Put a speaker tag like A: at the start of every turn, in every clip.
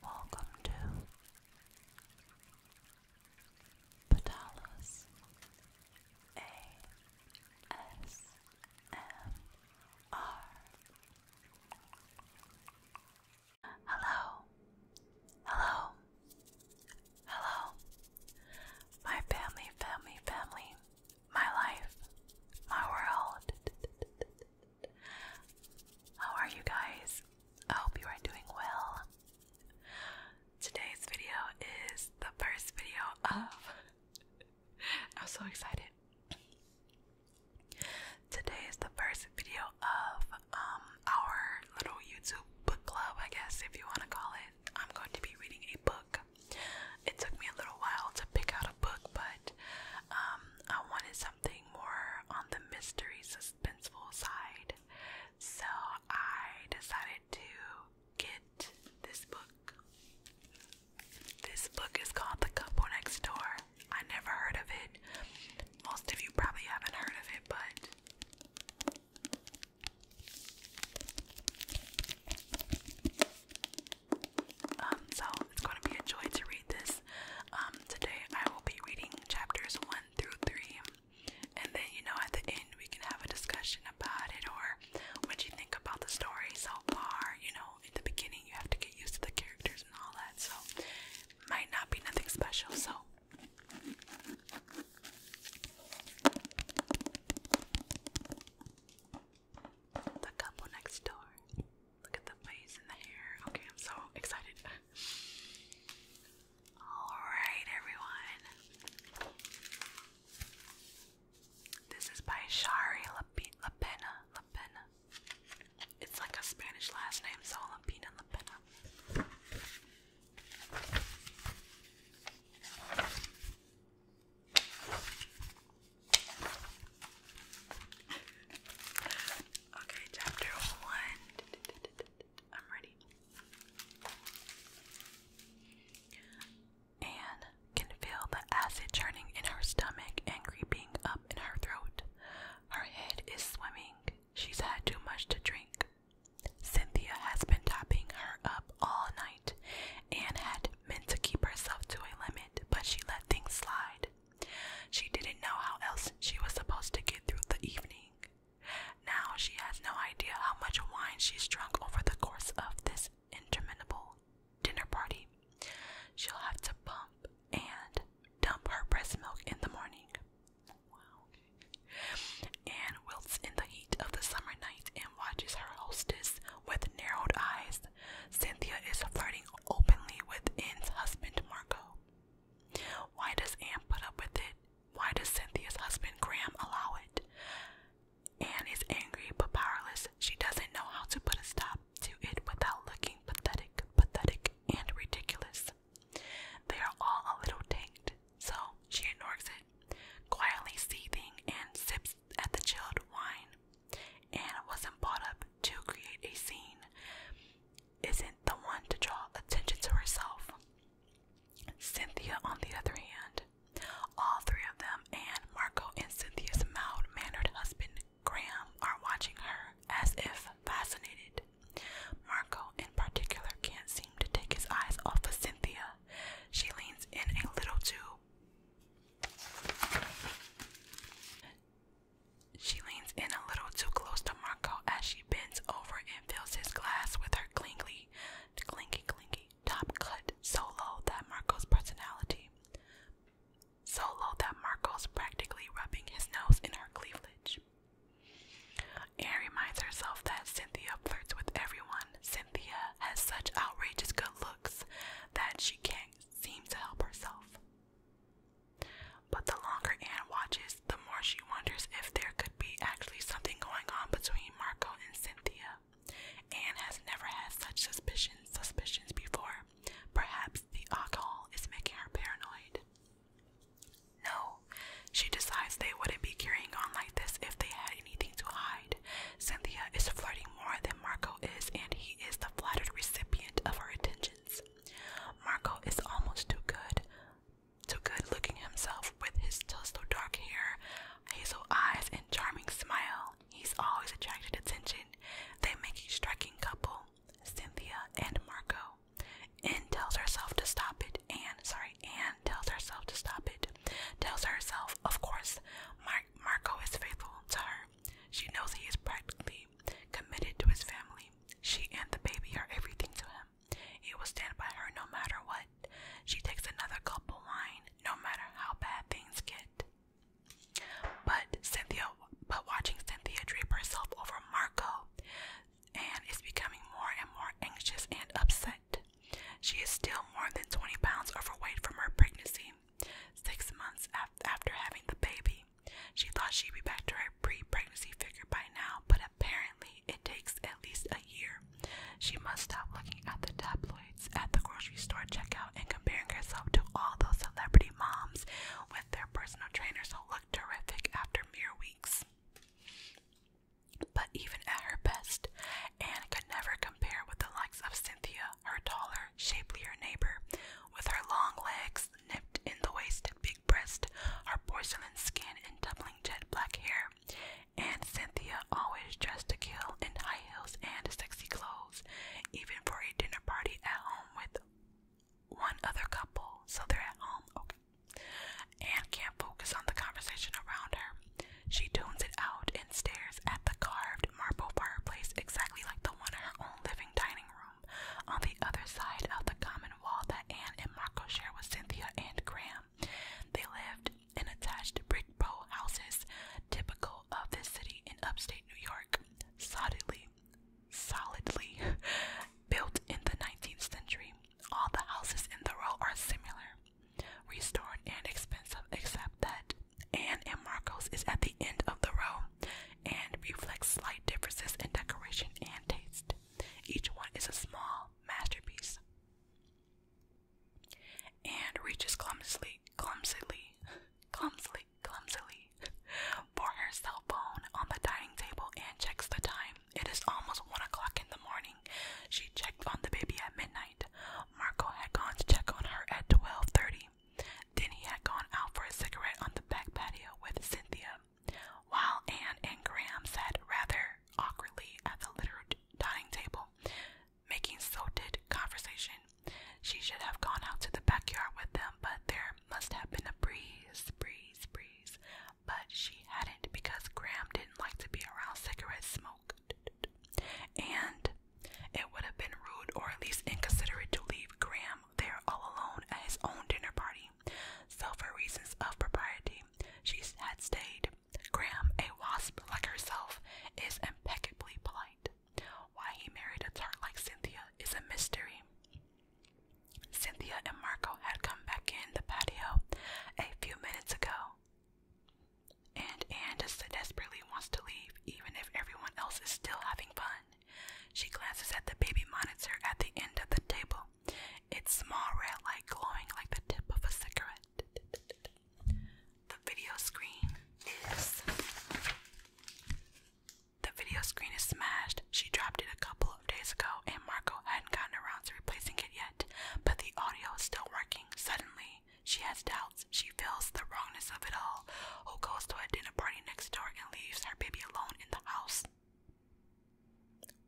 A: Welcome to Patalas ASMR. Hello, hello, hello, my family, family, family, my life, my world. How are you guys? I hope you are doing well. Today's video is the first video of. I'm so excited. Today is the first video of um, our little YouTube book club, I guess, if you want to call it. I'm going to be reading a book. It took me a little while to pick out a book, but um, I wanted to something more on the mystery suspenseful side. So I decided to get this book. This book is called The Couple Next Door. I never heard of it. Most of you probably haven't heard of it, but um, so it's going to be a joy to read this. Um, today I will be reading chapters 1 through 3, and then you know, at the end, we can have a discussion about it or what you think about the story so far. You know, in the beginning, you have to get used to the characters and all that, so might not be nothing special. So. The couple next door. Look at the face and the hair. Okay, I'm so excited. Alright, everyone. This is by Shari Lapena. Lapena. It's like a Spanish last name, so Lapena Lapena okay, chapter one. I'm ready. Anne can feel the acid churning in her stomach and creeping up in her throat. Her head is swimming. She's had too much to drink. Cynthia has been topping her up all night. Anne had meant to keep herself to a limit, but she let things slide. She didn't know how else she was supposed to get through the evening. Now she has no idea how much wine she's drunk over the course of this interminable dinner party. She'll have to pump and dump her breast milk in the morning. Wow. Anne wilts in the heat of the summer night and watches her hostess with narrowed eyes. Cynthia is flirting openly with Anne's husband, Marco. Why does Anne put up with it? Why does Cynthia's husband, Graham, allow it? Anne is angry but powerless. She doesn't know how to put a stop to it without looking pathetic, pathetic, and ridiculous. They are all a little tanked, so she ignores it, quietly seething and sips at the chilled wine. Anne wasn't brought up to create a scene isn't the one to draw attention to herself. Cynthia, on the other hand, all three of them and Marco and Cynthia's mild mannered husband, Graham, are watching her as if fascinated. Marco, in particular, can't seem to take his eyes off of Cynthia. She leans in a little too. She leans in a little too close to Marco as she bends over and fills his glass with her clingy, clinky, clinky top cut so low that Marco's personality, so low that Marco's practically rubbing his nose in her cleavage. Anne reminds herself that Cynthia flirts with everyone. Cynthia has such outrageous good looks that she can't seem to help herself. But the longer Anne watches, the more she wonders if there could be actually something going on between Marco and Cynthia. Anne has never had such suspicions suspicions before. Perhaps the alcohol is making her paranoid. No, she decides they wouldn't be carrying on like this if they had anything to hide. Cynthia is flirting more than Marco is, and he is the flattered recipient of her attentions. Marco is almost too good, too good looking himself with his tussle dark hair, hazel eyes, and charming smile. He's always attracted attention. They make a striking couple, Cynthia and Marco. Anne tells herself to stop it. Anne, sorry, Anne tells herself to stop it. Tells herself, of course, Mar Marco is faithful to her. She knows he is practically committed to his family. She and the baby are everything to him. He will stand by her no matter what. She takes another cup of wine no matter how bad things get. But Cynthia, but watching Cynthia drape herself over Marco, and is becoming more and more anxious and upset. She is still more than 20 pounds overweight from her pregnancy, six months after having the baby. She thought she'd be back to her pre pregnancy figure by now, but apparently it takes at least a year. She must stop looking at the tabloids at the grocery store checkout and comparing herself to all those celebrity moms with their personal trainers who look terrific after mere weeks. But even at her best, Anne could never compare with the likes of Cynthia, her taller, shapelier neighbor, with her long legs nipped in the waist, and big breast, her porcelain skin, and tumbling jet black hair. And Cynthia always dressed to kill in high heels and sexy clothes, even for a dinner party at home with one other couple. So they're at home, okay. Anne can't focus on the conversation around her. She tunes it out and stares at the carved marble fireplace exactly like the one in her own living dining room. On the other side of the common wall that Anne and Marco share with Cynthia and Graham. They lived in attached brick row houses, typical of this city in upstate New York, solidly, solidly built in the 19th century. All the houses in the row are similar, restored and expensive, except that Anne and Marcos is at the end of the row and reflects slight differences in decoration and taste. Each one is a small masterpiece and reaches clumsily, clumsily, clumsily, clumsily for her cell phone on the dining table and checks the time. It is almost one o'clock in the morning. She checked on the baby at midnight. Marco had gone to check on her at twelve thirty. Then he had gone out for a cigarette on the back patio with Cynthia. While Anne and Graham sat rather awkwardly at the littered dining table, making so did conversation, she should have gone out to the backyard with them, but there must have been a breeze, breeze, breeze. But she hadn't because Graham didn't like to be around cigarette smoke. And it would have been rude or at least inconsiderate to leave Graham there all alone at his own dinner party. So, for reasons of propriety, she had stayed. Graham, a wasp like herself, is impeccably polite. Why he married a tart like Cynthia is a mystery. Cynthia and Marco had come back in the patio a few minutes ago, and Anne just desperately wants to leave, even if everyone else is still having fun. She glances at the baby monitor at the end of the table. It's small red light glowing like the tip of a cigarette. The video screen is The video screen is smashed. She dropped it a couple of days ago and Marco hadn't gotten around to replacing it yet, but the audio is still working. Suddenly, she has doubts. She feels the wrongness of it all. Who goes to a dinner party next door and leaves her baby alone in the house?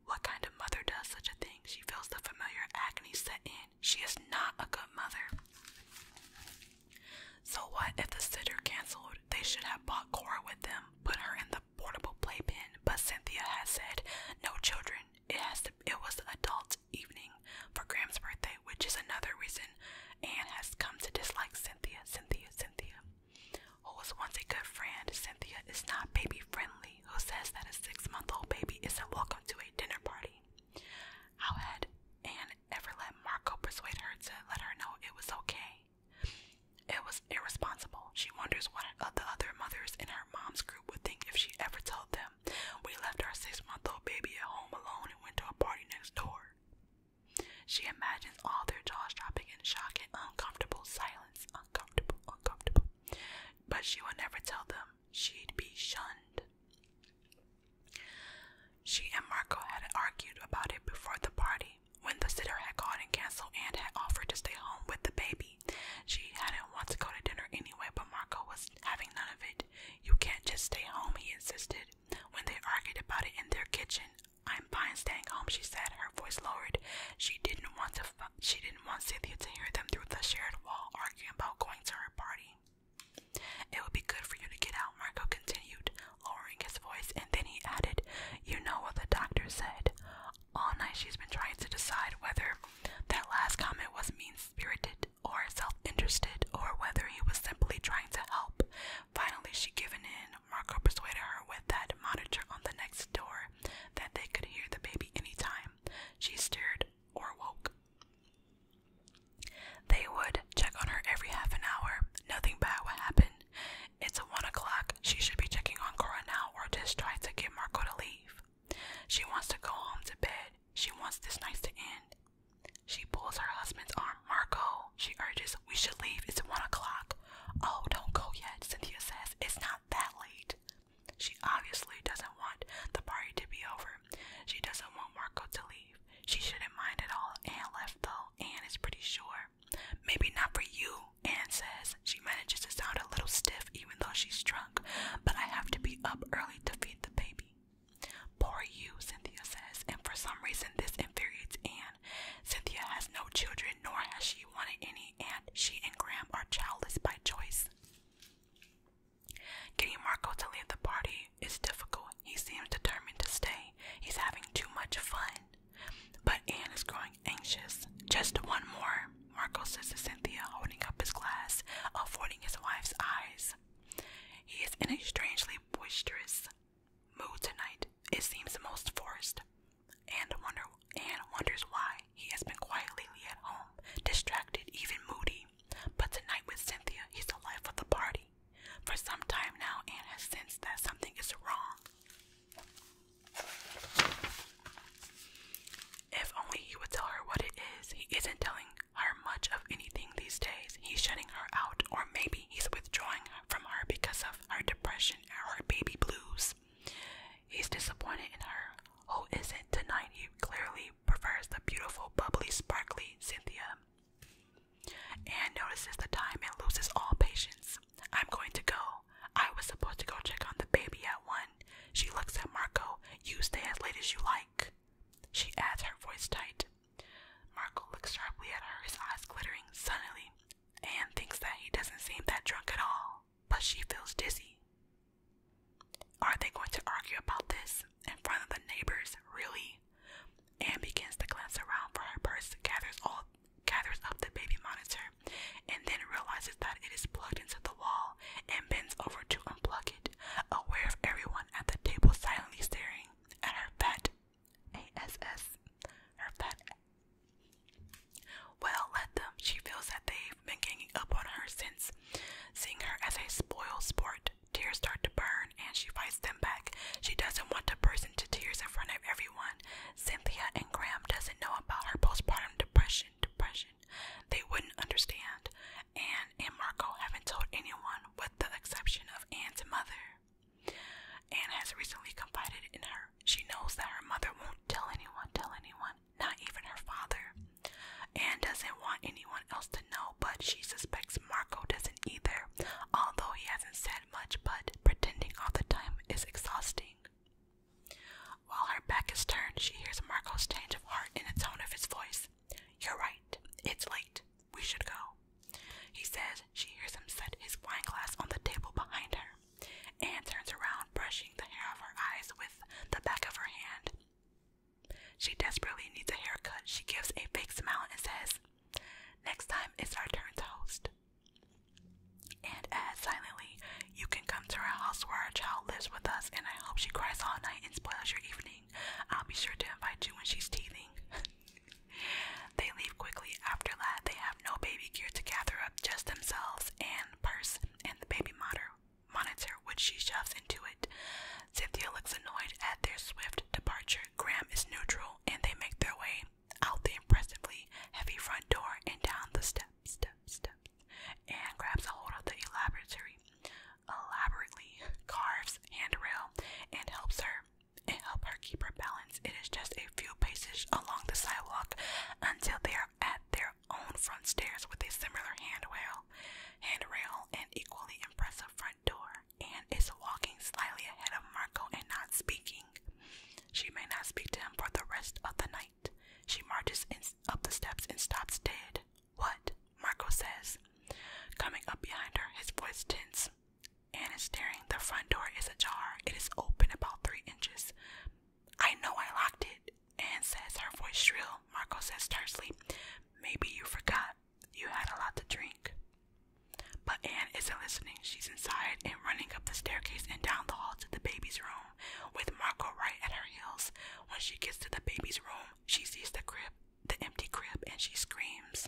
A: What kind of mother does such a thing? She feels the familiar agony set in. She is not a good mother. So, what if the sitter canceled? They should have bought Cora with them, put her in the portable playpen. But Cynthia has said, No children. It has to, it was adult evening for Graham's birthday, which is another reason Anne has come to dislike Cynthia, Cynthia, Cynthia who was once a good friend, Cynthia is not baby friendly, who says that a six month old baby isn't welcome to a dinner party. How had Anne ever let Marco persuade her to let her know it was okay? It was irresponsible. She wonders what the other mothers in her mom's group would think if she ever told them, We left our six month old baby at home alone and went to a party next door. She imagines all their jaws dropping in shock and uncomfortable silence, uncomfortable, uncomfortable. But she will never tell them she'd be shunned. She and Marco had argued about it before the party. When the sitter had called and canceled and had offered to stay home with the baby, she hadn't wanted to go to dinner anyway, but Marco was having none of it. You can't just stay home, he insisted. When they argued about it in their kitchen, I'm fine staying home, she said, her voice lowered. She didn't want to she didn't want Cynthia to hear them through the shared wall arguing about going to her party. It would be good for you to get out, Marco continued, lowering his voice, and then he added, You know what the doctor said. All night she's been trying to decide whether that last comment was mean spirited or self interested or whether he was simply trying to help. Finally she given in Marco persuaded her with that monitor on the next door that they could hear the baby anytime she stirred or woke. They would check on her every half an hour. Nothing bad would happen. It's one o'clock. She should be checking on Cora now or just try to get Marco to leave. She wants to go home to bed. She wants this night to end. She pulls her husband's arm. Marco, she urges we should leave. It's one o'clock. Oh, don't go yet, Cynthia says. It's not that late. She obviously doesn't want the party to be over. She doesn't want Marco to leave. She shouldn't mind at all. Anne left though. Anne is pretty sure. Maybe not for you, Anne says. She manages to sound a little stiff even though she's drunk. But I have to be up early to feed the baby. Poor you, Cynthia says, and for some reason this infuriates Anne. Cynthia has no children, nor has she wanted any, and she and Graham are childless by choice. Getting Marco to leave the party is difficult. He seems determined to stay. He's having too much fun. But Anne is growing anxious. Just one more, Marco says to Cynthia, holding up his glass, avoiding his wife's eyes. He is in a strangely boisterous mood tonight. It seems the most forced, and wonder and wonders why he has been quietly at home, distracted, even moody. But tonight with Cynthia, he's the life of the party. For some time now, Anne has sensed that something is wrong. If only he would tell her what it is. He isn't telling her much of anything these days. He's shutting her out, or maybe he's withdrawing from her because of her depression or her baby blues. He's disappointed in her, who isn't tonight. He clearly prefers the beautiful, bubbly, sparkly Cynthia. And notices the time and loses all patience. I'm going to go. I was supposed to go check on the baby at one. She looks at Marco. You stay as late as you like. She adds her voice tight. Marco looks sharply at her, his eyes glittering. Suddenly, Anne thinks that he doesn't seem that drunk at all, but she feels dizzy. Are they going to argue about this in front of the neighbors, really? Anne begins to glance around for her purse, gathers all gathers up the baby monitor, and then realizes that it is plugged into the wall and bends over to unplug it, aware of everyone at the table silently staring at her fat ASS. Her fat well, let them. She feels that they've been ganging up on her since seeing her as a spoiled sport. Tears start to burn and she fights them back. She doesn't want to burst into tears in front of everyone. Cynthia and Graham doesn't know about her postpartum depression. Depression. They wouldn't understand. Anne and Marco haven't told anyone with the exception of Anne's mother. Anne has recently confided in her she knows that her mother won't tell anyone, tell anyone, not even her father. Anne doesn't want anyone else to know, but she suspects Marco doesn't either, although he hasn't said much, but pretending all the time is exhausting. While her back is turned, she hears Marco's change of heart in the tone of his voice. You're right. It's late. We should go. He says she hears him set his wine glass on the table behind her. Anne turns around, brushing the hair of her eyes with the back of her hand. She desperately needs a haircut. She gives a fake smile and says, Next time it's our turn to host. And adds silently, You can come to our house where our child lives with us, and I hope she cries all night and spoils your evening. I'll be sure to invite you when she's teething. they leave quickly. After that, they no baby gear to gather up just themselves and purse and the baby monitor, which she shoves into it. Cynthia looks annoyed at their swift departure. Graham is neutral and they make their way out the impressively heavy front door and down the steps, steps, and grabs a hold of the elaborately, elaborately carves handrail and helps her and help her keep her balance. It is just a few paces along the sidewalk until they at their own front stairs with a similar handrail, handrail and equally impressive front door, and is walking slightly ahead of Marco and not speaking. She may not speak to him for the rest of the night. She marches up the steps and stops dead. What? Marco says. Coming up behind her, his voice tense. Anne is staring. The front door is ajar. It is open about three inches. I know I locked it. Anne says, her voice shrill. Marco says tersely, Maybe you forgot. You had a lot to drink. But Anne isn't listening. She's inside and running up the staircase and down the hall to the baby's room, with Marco right at her heels. When she gets to the baby's room, she sees the crib, the empty crib, and she screams.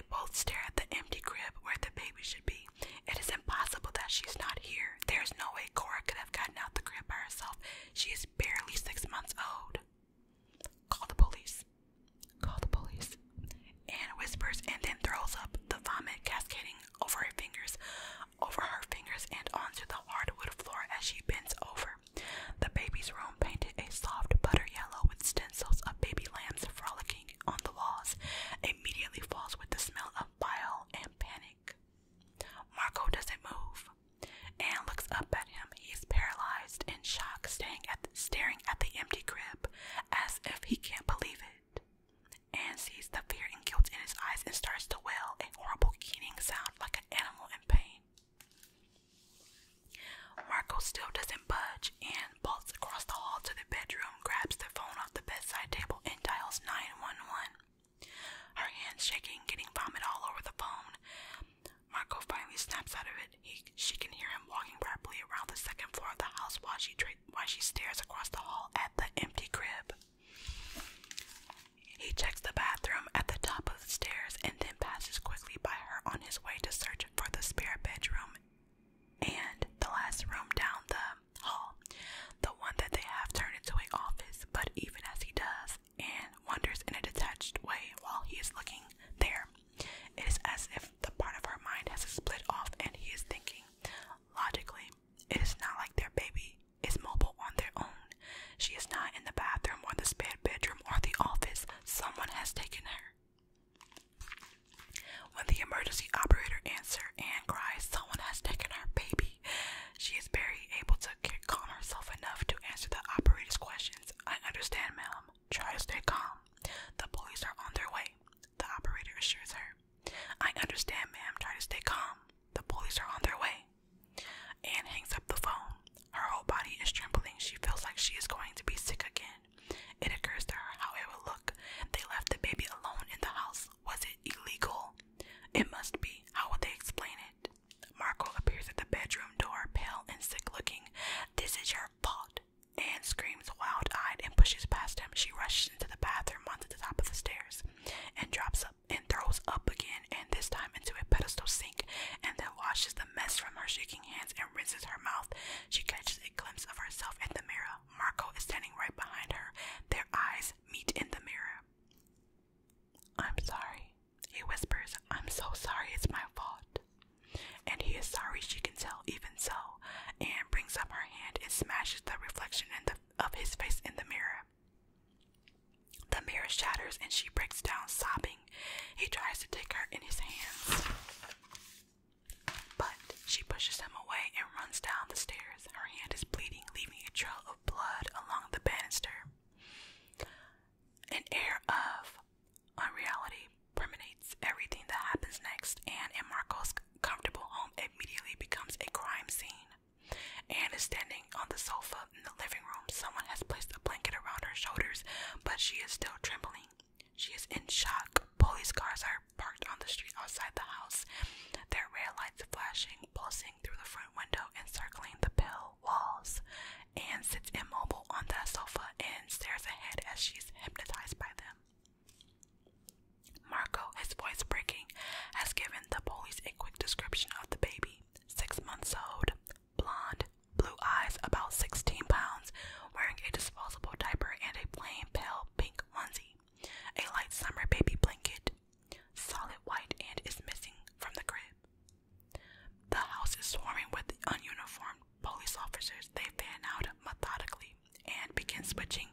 A: they both stare at the empty crib where the baby should be. It is impossible that she's not here. There is no way Cora could have gotten out the crib by herself. She is barely six months old. Call the police. Call the police. Anne whispers and then throws up the vomit cascading over her fingers, over her fingers, and onto the hardwood floor as she bends over. The baby's room, painted a soft butter yellow with stencils of baby lambs frolicking on the walls, immediately falls with the smell of bile and panic. Marco doesn't move. and looks up at him. He's paralyzed in shock, staring at, the, staring at the empty crib as if he can't believe it. Anne sees the fear and guilt in his eyes and starts to wail, a horrible keening sound like an animal in pain. Marco still doesn't budge and bolts across the hall to the bedroom, grabs the phone off the bedside table, and dials 911. Her hands shaking, getting vomit all over the phone. Marco finally snaps out of it. she can hear him walking rapidly around the second floor of the house while she, while she stares across the hall at the empty crib. He checks the bathroom at the top of the stairs and then passes quickly by her on his way to search for the spare bedroom and the last room down the hall, the one that they have turned into an office. But even as he does and wanders in a detached way while he is looking there, it is as if the part of her mind has split off and he is thinking. Logically, it is not like their baby is mobile on their own. She is not in the bathroom or the spare bedroom or the office. Someone has taken her. When the emergency operator answers Anne cries, Someone has taken her baby. She is barely able to calm herself enough to answer the operator's questions. I understand, ma'am. Try to stay calm. The police are on their way, the operator assures her. I understand, ma'am. Try to stay calm. The police are on their way. Anne hangs up the phone. Her whole body is trembling. She feels like she is going to be sick again. It occurs to her how it will look. They left the baby alone in the house. Was it illegal? It must be. How would they explain it? Marco appears at the bedroom door, pale and sick looking. This is your fault. Anne screams wild eyed and pushes past him. She rushes into the bathroom onto the top of the stairs and drops up and throws up again, and this time into a pedestal sink, and then washes the mess from her shaking hands and rinses her mouth. She catches a glimpse of herself in the mirror. Marco is standing right behind her. Their eyes meet in the mirror. I'm sorry, he whispers. I'm so sorry, it's my fault. And he is sorry, she can tell, even so. and brings up her hand and smashes the reflection of his face in the mirror. The mirror shatters and she breaks down, sobbing. He tries to take her in his hands. But she pushes him away and runs down the stairs. Her hand is bleeding, leaving a trail of blood along the banister. An air of unreality permeates everything that happens next, and in Marco's comfortable home immediately becomes a crime scene. Anne is standing on the sofa in the living room. Someone has placed a blanket around her shoulders, but she is still trembling. She is in shock. Police cars are parked on the street outside the house, their red lights flashing, pulsing through the front window, and circling the pale walls. Anne sits immobile on the sofa and stares ahead as she's hypnotized by them. Marco, his voice breaking, has given the police a quick description of the baby. Six months old, blonde, blue eyes, about 16 pounds, wearing a disposable diaper and a plain pale pink onesie, a light summer baby blanket, solid white, and is missing from the crib. The house is swarming with ununiformed police officers. They fan out methodically and begin switching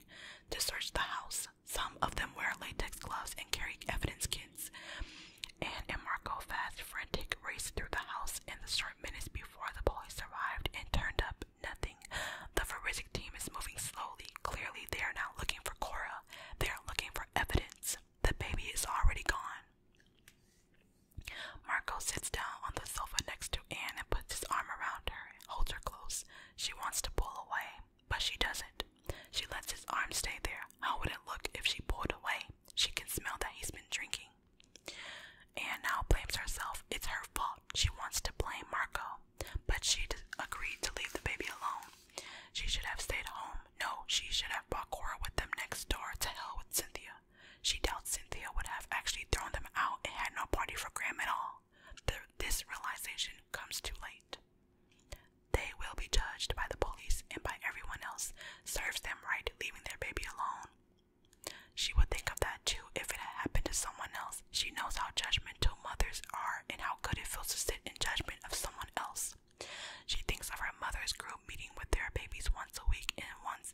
A: to search the house. Some of them wear latex gloves and carry evidence kits. And a Marco fast, frantic race through the house in the short minutes before the police arrived and turned up nothing. The forensic team is moving slowly. Clearly, they are not looking for Cora, they are looking for evidence. The baby is already gone. Marco sits down on the sofa next to Anne and puts his arm around her and holds her close. She wants to pull away, but she doesn't. She lets his arm stay there. How would it look if she pulled away? She can smell that he's been drinking. Molly. Anne now blames herself. It's her fault. She wants to blame Marco, but she agreed to leave the baby alone. She should have stayed home. No, she should have brought Cora with them next door to hell with Cynthia. She doubts Cynthia would have actually thrown them out and had no party for Graham at all. this realization comes too late. They will be judged by the police and by everyone else. Serves them right leaving their baby alone. She would think of that too if it had happened to someone else. She knows how judgmental mothers are and how good it feels to sit in judgment of someone else. She thinks of her mother's group meeting with their babies once a week and once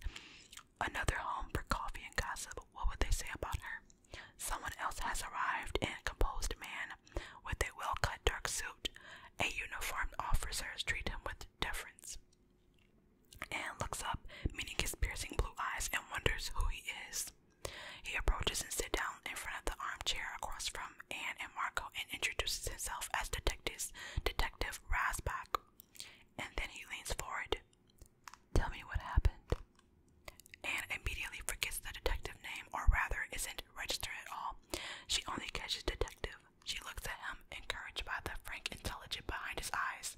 A: another home for coffee and gossip. What would they say about her? Someone else has arrived, and a composed man with a well cut dark suit. A uniformed officer treats him with deference and looks up, meeting his piercing blue eyes, and wonders who he is. He approaches and sits down in front of the armchair across from Anne and Marco and introduces himself as Detective, Detective Rasback. And then he leans forward. Tell me what happened. Anne immediately forgets the detective name, or rather, isn't registered at all. She only catches Detective. She looks at him, encouraged by the frank intelligence behind his eyes.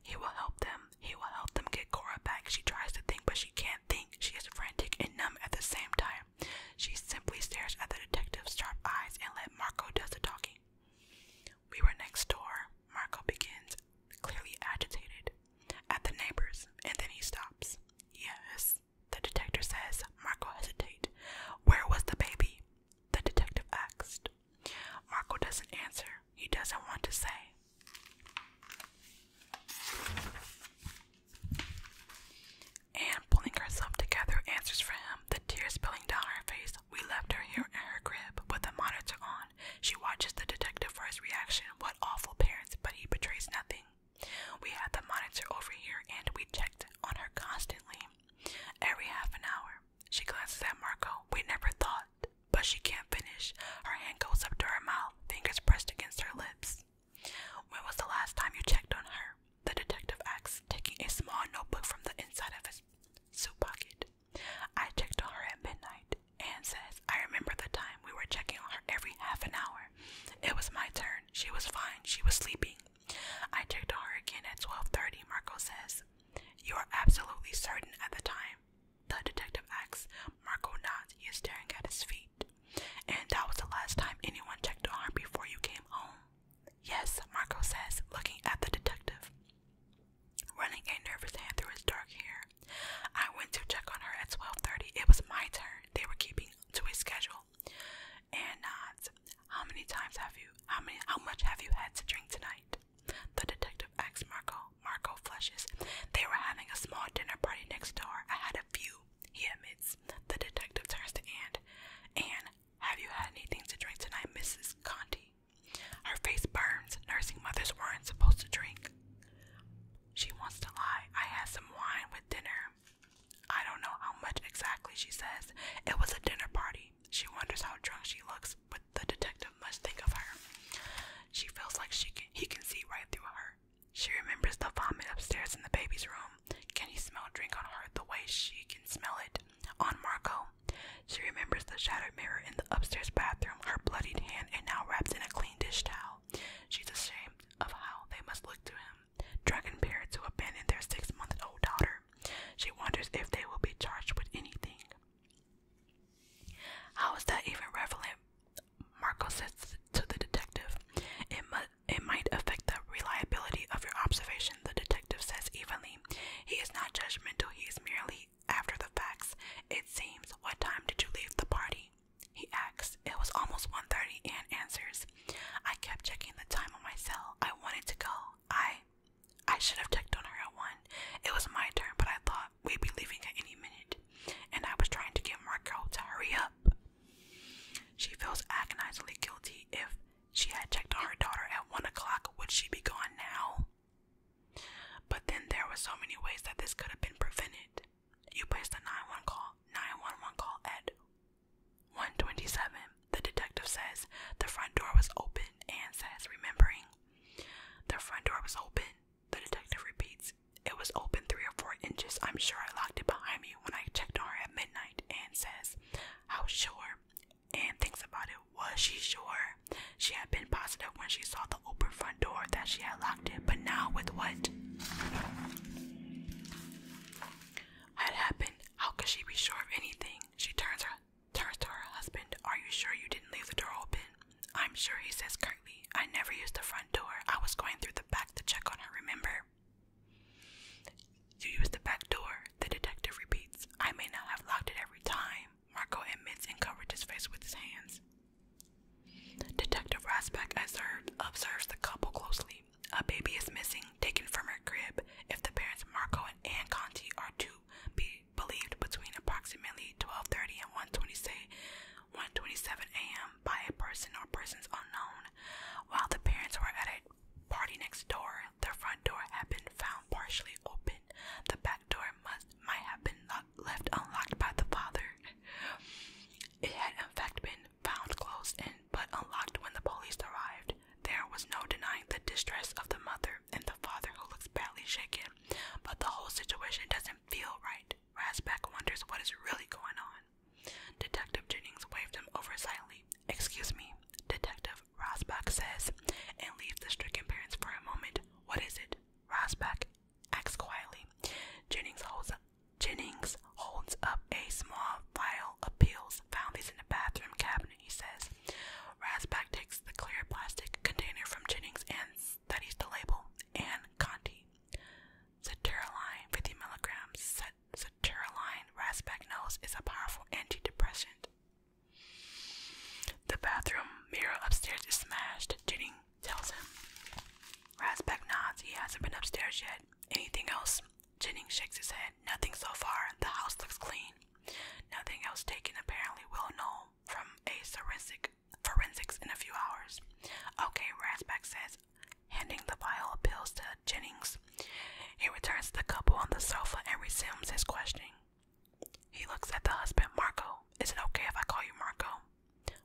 A: He will help them. He will help them get Cora back. She tries to think, but she can't think. She is frantic and numb at the same time. She simply stares at the detective's sharp eyes and let Marco does the talking. We were next door. Marco begins, clearly agitated, at the neighbors, and then he stops. Yes, the detective says. Marco hesitates. Where was the baby? The detective asked. Marco doesn't answer. He doesn't want to say. Anne, pulling herself together, answers for him, the tears spilling down her face. We left her here in her crib with the monitor on. She watches the detective for his reaction. What awful parents, but he betrays nothing. We had the monitor over here and we checked on her constantly, every half an hour. She glances at Marco. We never thought. But she can't finish. Her hand goes up to her mouth, fingers pressed against her lips. When was the last time you checked on her? The detective asks, taking a small notebook from the inside of his suit pocket. I checked on her at midnight. Anne says, I remember the time we were checking on her every half an hour. It was my turn. She was fine. She was sleeping. I checked on her again at 12.30, Marco says. You are absolutely certain at the time. The detective asks. Marco nods. He is staring at his feet. And that was the last time anyone checked on her before you came home. Yes, Marco says, looking at the detective. Running a nervous hand through his dark hair. I went to check on her at 12.30. It was my turn. They were keeping to a schedule. And nods. How many times have you, how many, how much have you had to drink tonight? The detective asks Marco. Marco flushes. They were having a small dinner party next door. I had a few, he admits. The detective turns to Anne. Anne, have you had anything to drink tonight, Mrs. Conti? Her face burns. Nursing mothers weren't supposed to drink. She wants to lie. I had some wine with dinner. I don't know how much exactly, she says. It was a dinner party. She wonders how drunk she looks, but the detective must think of her. She feels like she he can see right through her. She remembers the vomit upstairs in the baby's room. Can he smell drink on her the way she can smell it on Marco? She remembers the shattered mirror in the upstairs bathroom, her bloodied hand, and now wrapped in a clean dish towel. She's ashamed of how they must look to him, drunk and bare, to abandon their six-month-old daughter. She wonders if they will be charged with anything. How is that even relevant? Marco says to the detective. It, might affect the reliability of your observation, the detective says evenly. He is not judgmental, he is merely after the facts. It seems. What time did you leave the party? He asks. It was almost 1.30 and answers. I kept checking the time on my cell. I wanted to go. I I should have checked on her at one. It was my turn, but I thought we'd be leaving at any minute, and I was trying to get Marco to hurry up. She feels agonizingly guilty. If she had checked on her daughter at one o'clock, would she be gone now? But then there were so many ways that this could have been prevented. You placed a 911 call, 911 call at 127. The detective says the front door was open and says, remembering the front door was open. The detective repeats, It was open three or four inches. I'm sure I locked it behind me when I checked on her at midnight. Anne says, How sure? Anne thinks about it. Was she sure? She had been positive when she saw the open front door that she had locked it, but now with what had happened, how could she be sure of anything? She turns her Tarstar her husband, are you sure you didn't leave the door open? I'm sure, he says curtly. I never used the front door. I was going through the back to check on her, remember? You used the back door, the detective repeats. I may not have locked it every time, Marco admits and covers his face with his hands. Detective Rasbeck observes the couple closely. A baby is missing, taken from her crib. If the parents Marco and Anne Conti are to be believed between approximately 12:30 and 1:27 a.m. by a person or persons unknown. While the parents were at a party next door, the front door had been found partially open. The back door must might have been left unlocked by the father. It had in fact been found closed and but unlocked when the police arrived. There was no denying the distress of the mother and the father who looks badly shaken, but the whole situation doesn't feel right. Rasback wonders what is really going on. Detective Jennings waved him over silently. Excuse me, Detective Rasback says, and leaves the stricken parents for a moment. What is it? Rasback acts quietly. Jennings holds up Jennings holds up a small vial of pills. Found these in the bathroom cabinet, he says. Rasback takes the clear plastic container from Jennings and and studies the label, and Conti. Sertraline 50 milligrams. Sertraline knows is a powerful antidepressant. The bathroom mirror upstairs is smashed. Jennings tells him. Rasbeck nods. He hasn't been upstairs yet. Anything else? Jennings shakes his head. Nothing so far. The house looks clean. Nothing else taken. Apparently, we'll know from a forensic forensics in a few hours. Okay, Rasback says, handing the file of pills to Jennings. He returns to the couple on the sofa and resumes his questioning. He looks at the husband, Marco. Is it okay if I call you Marco?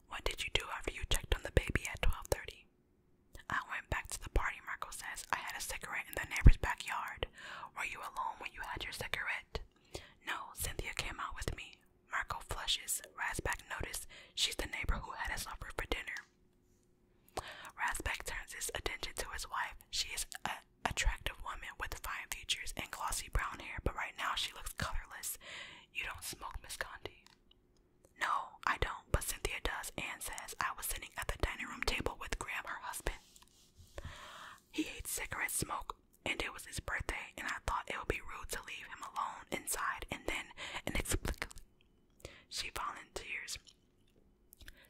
A: What did you do after you checked on the baby at 12:30? I went back to the party, Marco says. I had a cigarette in the neighbor's backyard. Were you alone when you had your cigarette? No, Cynthia came out with me. Marco flushes. Rasback notices she's the neighbor who had us over for dinner. Rasback turns his attention to his wife. She is an attractive woman with fine features and glossy brown hair, but right now she looks colorless. You don't smoke, Miss Condi. No, I don't, but Cynthia does. and says I was sitting at the dining room table with Graham, her husband. He hates cigarette smoke, and it was his birthday, and I thought it would be rude to leave him alone inside, and then inexplicably, she volunteers.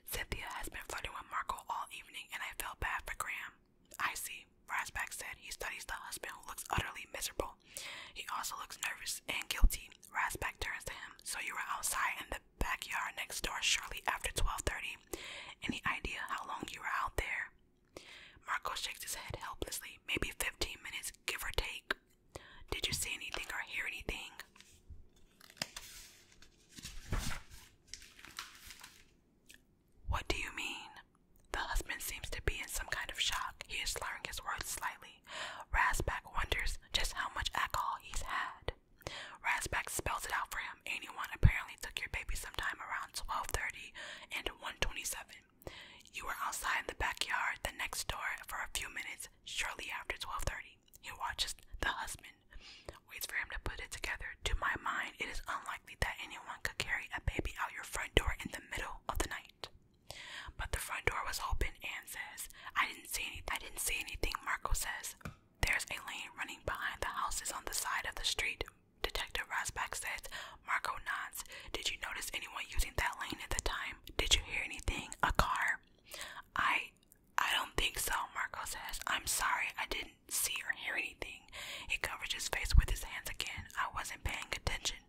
A: Cynthia has been flirting with Marco all evening, and I felt bad for Graham. I see, Rasback said. He studies the husband who looks utterly miserable. He also looks nervous and guilty. Rasback turns to him. So you were outside in the backyard next door shortly after 12:30. Any idea how long you were out there? Marco shakes his head helplessly. Maybe 15 minutes, give or take. Did you see anything or hear anything? What do you mean? The husband seems to be in some kind of shock. He is slurring his words slightly. Rasback wonders just how much alcohol he's had. Rasback spells it out for him. Anyone apparently took your baby sometime around 12:30 and 1:27. You were outside in the backyard, the next door, for a few minutes shortly after 12:30. He watches the husband. Waits for him to put it together. To my mind, it is unlikely that anyone could carry a baby out your front door in the middle of the night. But the front door was open. Anne says, "I didn't see any. I didn't see anything." Marco says, "There's a lane running behind the houses on the side of the street Detective Rosbach says, Marco nods. Did you notice anyone using that lane at the time? Did you hear anything? A car? I don't think so, Marco says. I'm sorry, I didn't see or hear anything. He covers his face with his hands again. I wasn't paying attention.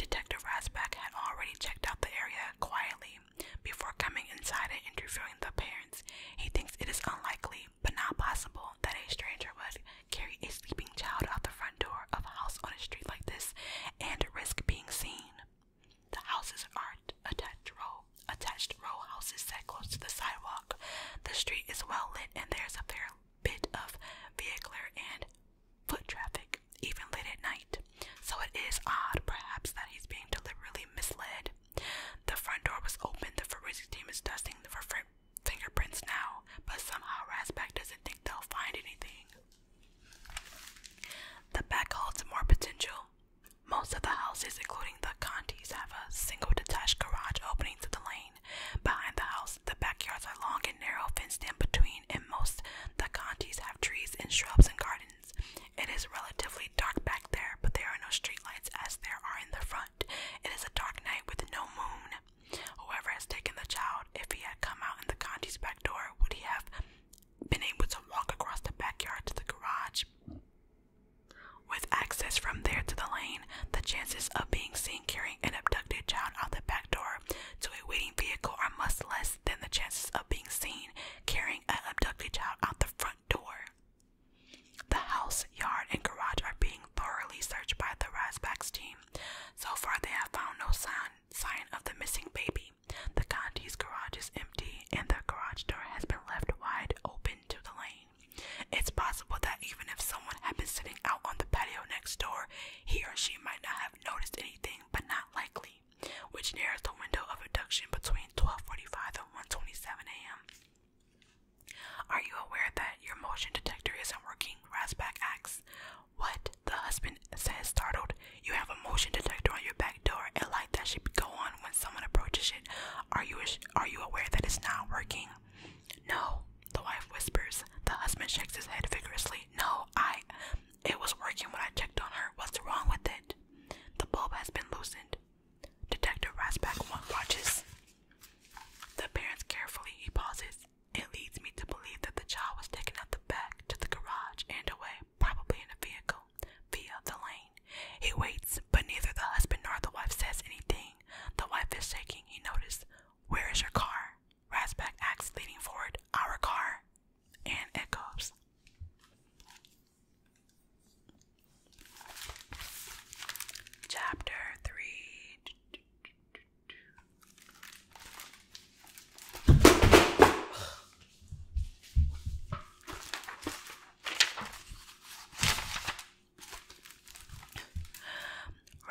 A: Detective Rasback had already checked out the area quietly before coming inside and interviewing the parents. He thinks it is unlikely but not possible that a stranger would carry a sleeping child out the front door of a house on a street like this and risk being seen. The houses aren't attached row attached row houses set close to the sidewalk. The street is well lit and there's a fair bit of vehicular and foot traffic, even late at night. So it is odd, perhaps, that he's being deliberately misled. The front door was open, the forensic team is dusting the fingerprints now, but somehow Rasback doesn't think they'll find anything. The back holds more potential. Most of the houses, including the Contis, have a single detached garage opening to the lane. Behind the house, the backyards are long and narrow, fenced in between, and most the Contis have trees and shrubs and gardens. It is relatively dark back there, but there are no streetlights as there are in the front. It is a dark night with no moon. Whoever has taken the child, if he had come out in the Conti's back door, would he have been able to walk across the backyard to the garage? With access from there to the lane, the chances of being seen carrying an abducted child out the back door to a waiting vehicle are much less than the chances of being seen carrying an abducted child out the front door. The house, yard, and garage are being thoroughly searched by the Razbacks team. So far, they have found no sign, of the missing baby. The Conti's garage is empty, and the garage door has been left wide open to the lane. It's possible that even if someone had been sitting out on the patio next door, he or she might not have noticed anything, but not likely, which narrows the window of abduction between 12:45 and one twenty-seven a.m. Are you aware that your motion detector isn't working? Rasback asks. What? The husband says, startled. You have a motion detector on your back door, a light that should go on when someone approaches it. Are you are you aware that it's not working? No, the wife whispers. The husband shakes his head vigorously. No, I. It was working when I checked on her. What's wrong with it? The bulb has been loosened. Detective Rasback watches. The parents carefully, he pauses. It leads me to believe that the child was taken out the back to the garage and away, probably in a vehicle, via the lane. He waits, but neither the husband nor the wife says anything. The wife is shaking. He notices, Where is your car? Rasback asks, leaning forward, Our car. And it echoes. Chapter 3.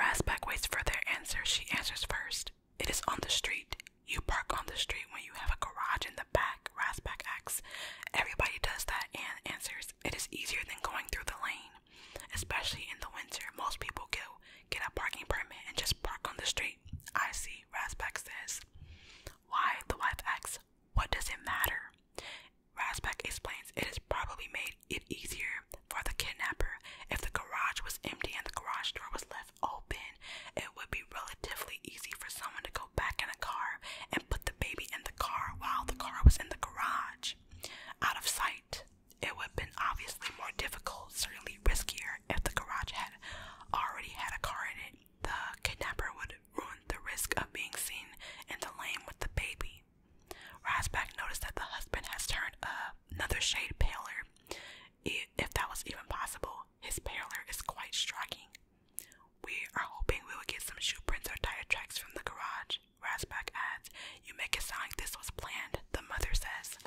A: Rasback waits for their answer. She answers first. It is on the street. You park on the street when you have a garage in the back, Rasback asks. Everybody does that, And answers. It is easier than going through the lane. Especially in the winter, most people get, get a parking permit and just park on the street. I see, Rasback says. Why? The wife asks, What does it matter? Rasback explains it has probably made it easier for the kidnapper. If the garage was empty and the garage door was left open, it would be relatively easy for someone to go back in a car and put the baby in the car while the car was in the garage. Out of sight, it would have been obviously more difficult, certainly riskier, if the garage had already had a car in it. The kidnapper would ruin the risk of being seen in the lane with the baby. Rasback noticed that the husband has turned another shade paler. If that was even possible, his paler is quite striking. We are hoping we will get some shoe prints or tire tracks from the garage. Rasback adds, You make it sound like this was planned, the mother says.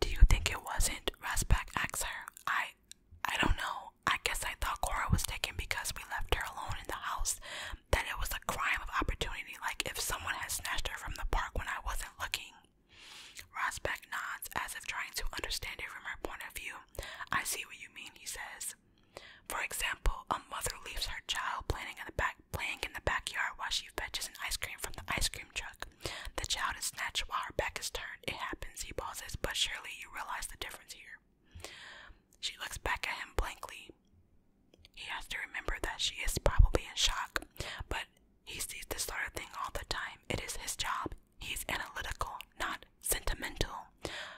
A: Do you think it wasn't? Rasback asks her. I I don't know. I guess I thought Cora was taken because we left her alone in the house. That it was a crime of opportunity, like if someone had snatched her from the park when I wasn't looking. Rasback nods as if trying to understand it from her point of view. I see what you mean, he says. For example, a mother leaves her child playing in the playing in the backyard while she fetches an ice cream from the ice cream truck. The child is snatched while her back is turned. It happens, he pauses, but surely you realize the difference here. She looks back at him blankly. He has to remember that she is probably in shock, but he sees this sort of thing all the time. It is his job. He's analytical, not sentimental.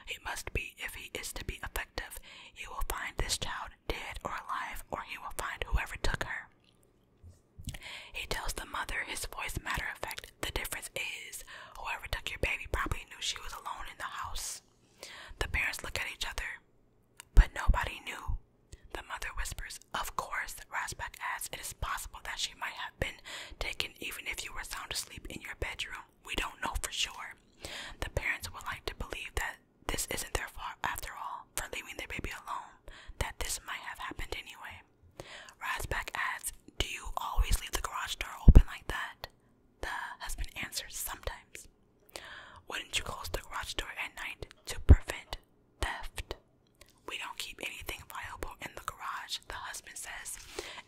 A: He must be if he is to be effective you will find this child dead or alive, or he will find whoever took her. He tells the mother, his voice matter of fact, the difference is whoever took your baby probably knew she was alone in the house. The parents look at each other, but nobody knew. The mother whispers, Of course, Rasback adds, it is possible that she might have been taken even if you were sound asleep in your bedroom we don't know for sure. The parents would like to believe that this isn't their fault after all for leaving their baby alone, that this might have happened anyway. Rasback adds, Do you always leave the garage door open like that? The husband answers, Sometimes. Wouldn't you close the garage door at night to prevent theft? We don't keep anything valuable in the garage, the husband says.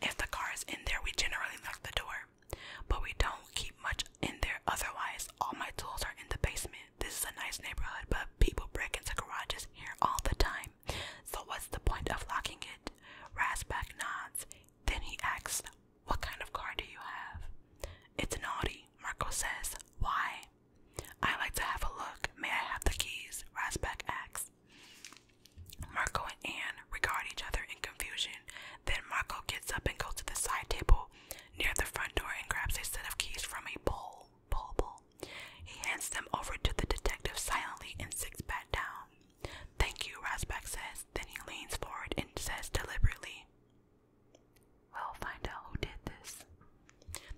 A: If the car is in there, we generally lock the door but we don't keep much in there otherwise. All my tools are in the basement. This is a nice neighborhood, but people break into garages here all the time. So, what's the point of locking it? Rasback nods. Then he asks, What kind of car do you have? It's an Audi, Marco says. Why? I like to have a look. May I have the keys? Rasback asks. Marco and Anne regard each other in confusion. Then Marco gets up and goes to the side table near the front door and grabs a set of keys from a bowl. Bowl, bowl. He hands them over to the detective silently and sits back down. Thank you, Rasback says. Then he leans forward and says deliberately, We'll find out who did this.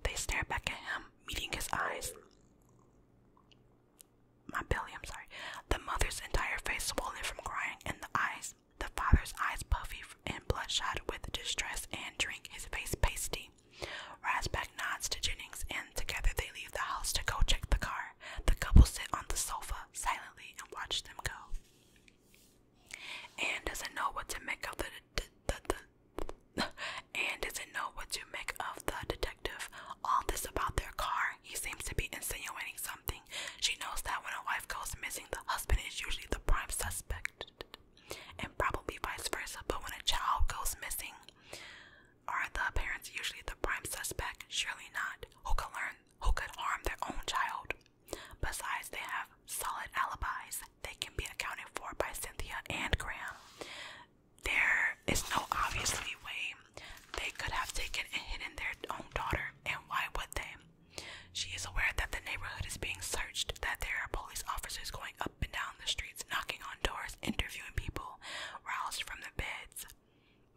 A: They stare back at him, meeting his eyes. My belly, I'm sorry. The mother's entire face swollen from crying, and the eyes, the father's eyes puffy and bloodshot with distress and drink, his face pasty. Rasback nods to Jennings, and together they leave the house to go check the car. The couple sit on the sofa silently and watch them go. Anne doesn't know what to make of the Anne doesn't know what to make of the detective. All this about their car. He seems to be insinuating something she knows that when a wife goes missing, the husband is usually the prime suspect, and probably vice versa. But when a child goes missing, are the parents usually the prime suspect? Surely not. Who could learn? Who could harm their own child? Besides, they have solid alibis. They can be accounted for by Cynthia and Graham. There is no obviously way they could have taken and hidden their own daughter, and why would they? She is aware that the neighborhood is being searched, that there are police officers going up and down the streets, knocking on doors, interviewing people, roused from the beds.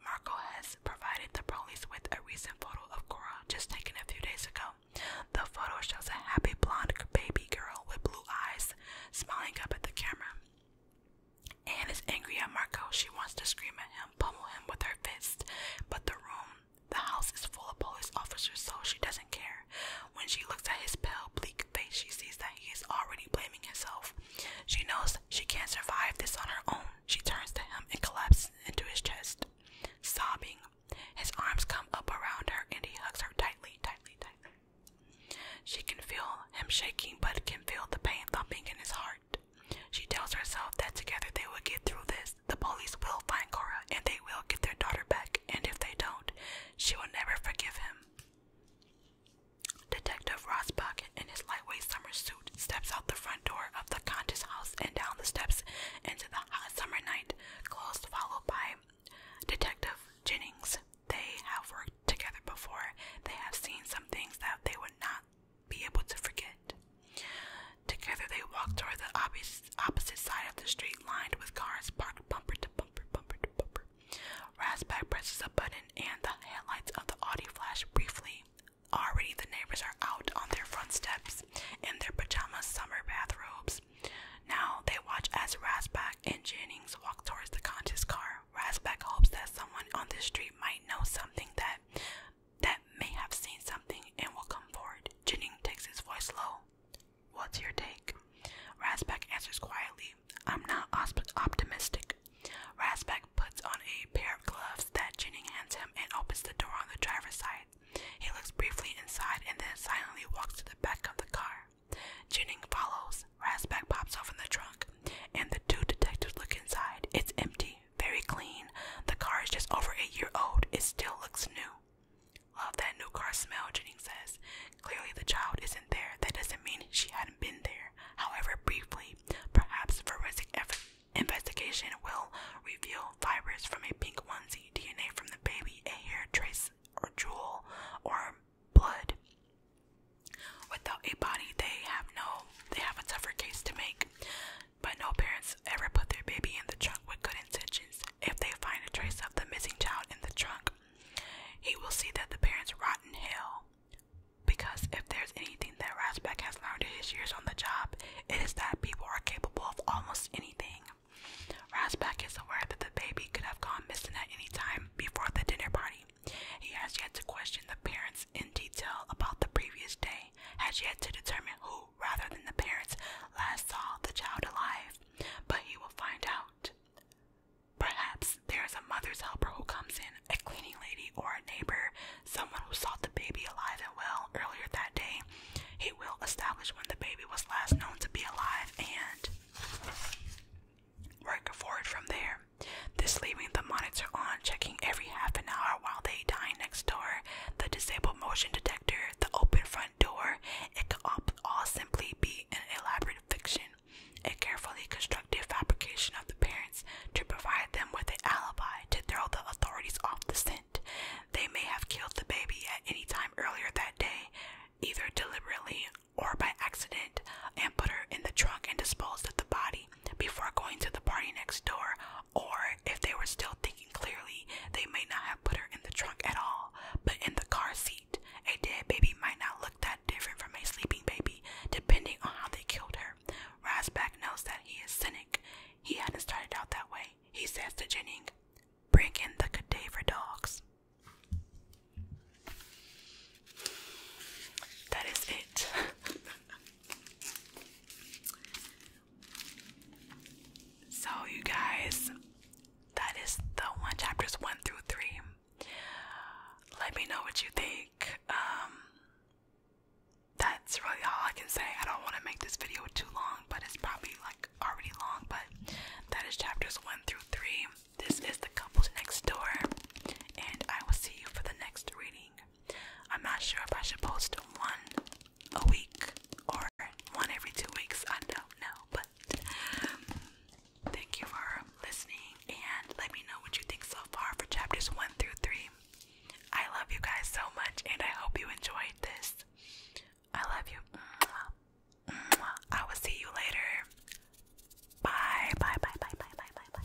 A: Marco has provided the police with a recent photo of Cora, just taken a few days ago. The photo shows a happy blonde baby girl with blue eyes smiling up at the camera. Anne is angry at Marco. She wants to scream at him pummel him with her fist. But the room, the house is full of police officers, so she doesn't care. When she looks at his pale, bleak face, she sees that he is already blaming himself. She knows she can't survive this on her own. She turns to him and collapses into his chest, sobbing. His arms come up around her and he hugs her tightly, tightly, tightly. She can feel him shaking, but can feel the pain thumping in his heart. She tells herself that together they will get through this. The police will find Cora and they will get their daughter back, and if they don't, she will never forgive him. Detective Rosbach, in his lightweight summer suit, steps out the front door of the Contis house and down the steps into the hot summer night, close followed by Detective Jennings. They have worked together before. They have seen some things that they would not be able to forget. Together they walk toward the opposite side of the street, lined with cars parked bumper to bumper, bumper Rasback presses a button, and the headlights of the Audi flash briefly. Already, the neighbors are out on their front steps in their pajamas, summer bathrobes. Now they watch as Rasback and Jennings walk towards the conscious car. Rasback hopes that someone on the street might know something that that may have seen something and will come forward. Jennings takes his voice low. What's your take? Rasback answers quietly. I'm not optimistic. Rasback puts on a pair of gloves that Jennings hands him and opens the door on the driver's side. He looks briefly inside and then silently walks to the back of the car. Jennings follows. Rasback pops open the trunk, and the two detectives look inside. It's empty very, clean. The car is just over a year old. It still looks new. Love that new car smell, Jennings says. Clearly, the child isn't there. That doesn't mean she hadn't been there. However, briefly, perhaps forensic investigation will reveal fibers from a pink onesie, DNA from the baby, a hair trace or jewel, or blood. Without a body, they have no. They have a tougher case to make. But no parents ever put their baby in the trunk with good intentions. If they find a trace of the missing child in the trunk, he will see that the parents rot in hell. Because if there's anything that Rasback has learned in his years on the job, it is that people are capable of almost anything. Rasback is aware that the baby could have gone missing at any time before the dinner party. He has yet to question the parents in detail about the previous day has yet to determine who, rather than the parents, last saw the child alive, but he will find out. Perhaps there is a mother's helper who comes in, a cleaning lady or a neighbor, someone who saw the baby alive and well earlier that day. He will establish when the baby was last known to be alive and work forward from there. This leaving the monitor on checking every half an hour while they dine next door, the disabled motion detector, the open front door. It could all simply be an elaborate fiction, a carefully constructed fabrication of the parents to provide them with an alibi to throw the authorities off the scent. They may have killed the baby at any time earlier that day, either deliberately or by accident, and put her in the trunk and disposed of the body before going to the party next door or if they were still thinking clearly, they may not have put her in the trunk at all, but in the car seat. A dead baby might not look that different from a sleeping baby, depending on how they killed her. Rasback knows that he is cynic. He hadn't started out that way. He says to Jennings, Bring in the cadaver dogs. That is it. So, you guys, that is the one chapters one through three. Let me know what you think. Um, that's really all I can say. I don't want to make this video too long, but it's probably like already long. But that is chapters one through three. This is the couples next door, and I will see you for the next reading. I'm not sure if I should post one a week or one every two weeks. I don't know, but thank you for listening and let me know what you think so far for chapters one through three. I love you guys so much and I hope you enjoyed this. I love you. I will see you later. Bye, bye, bye, bye, bye, bye, bye, bye.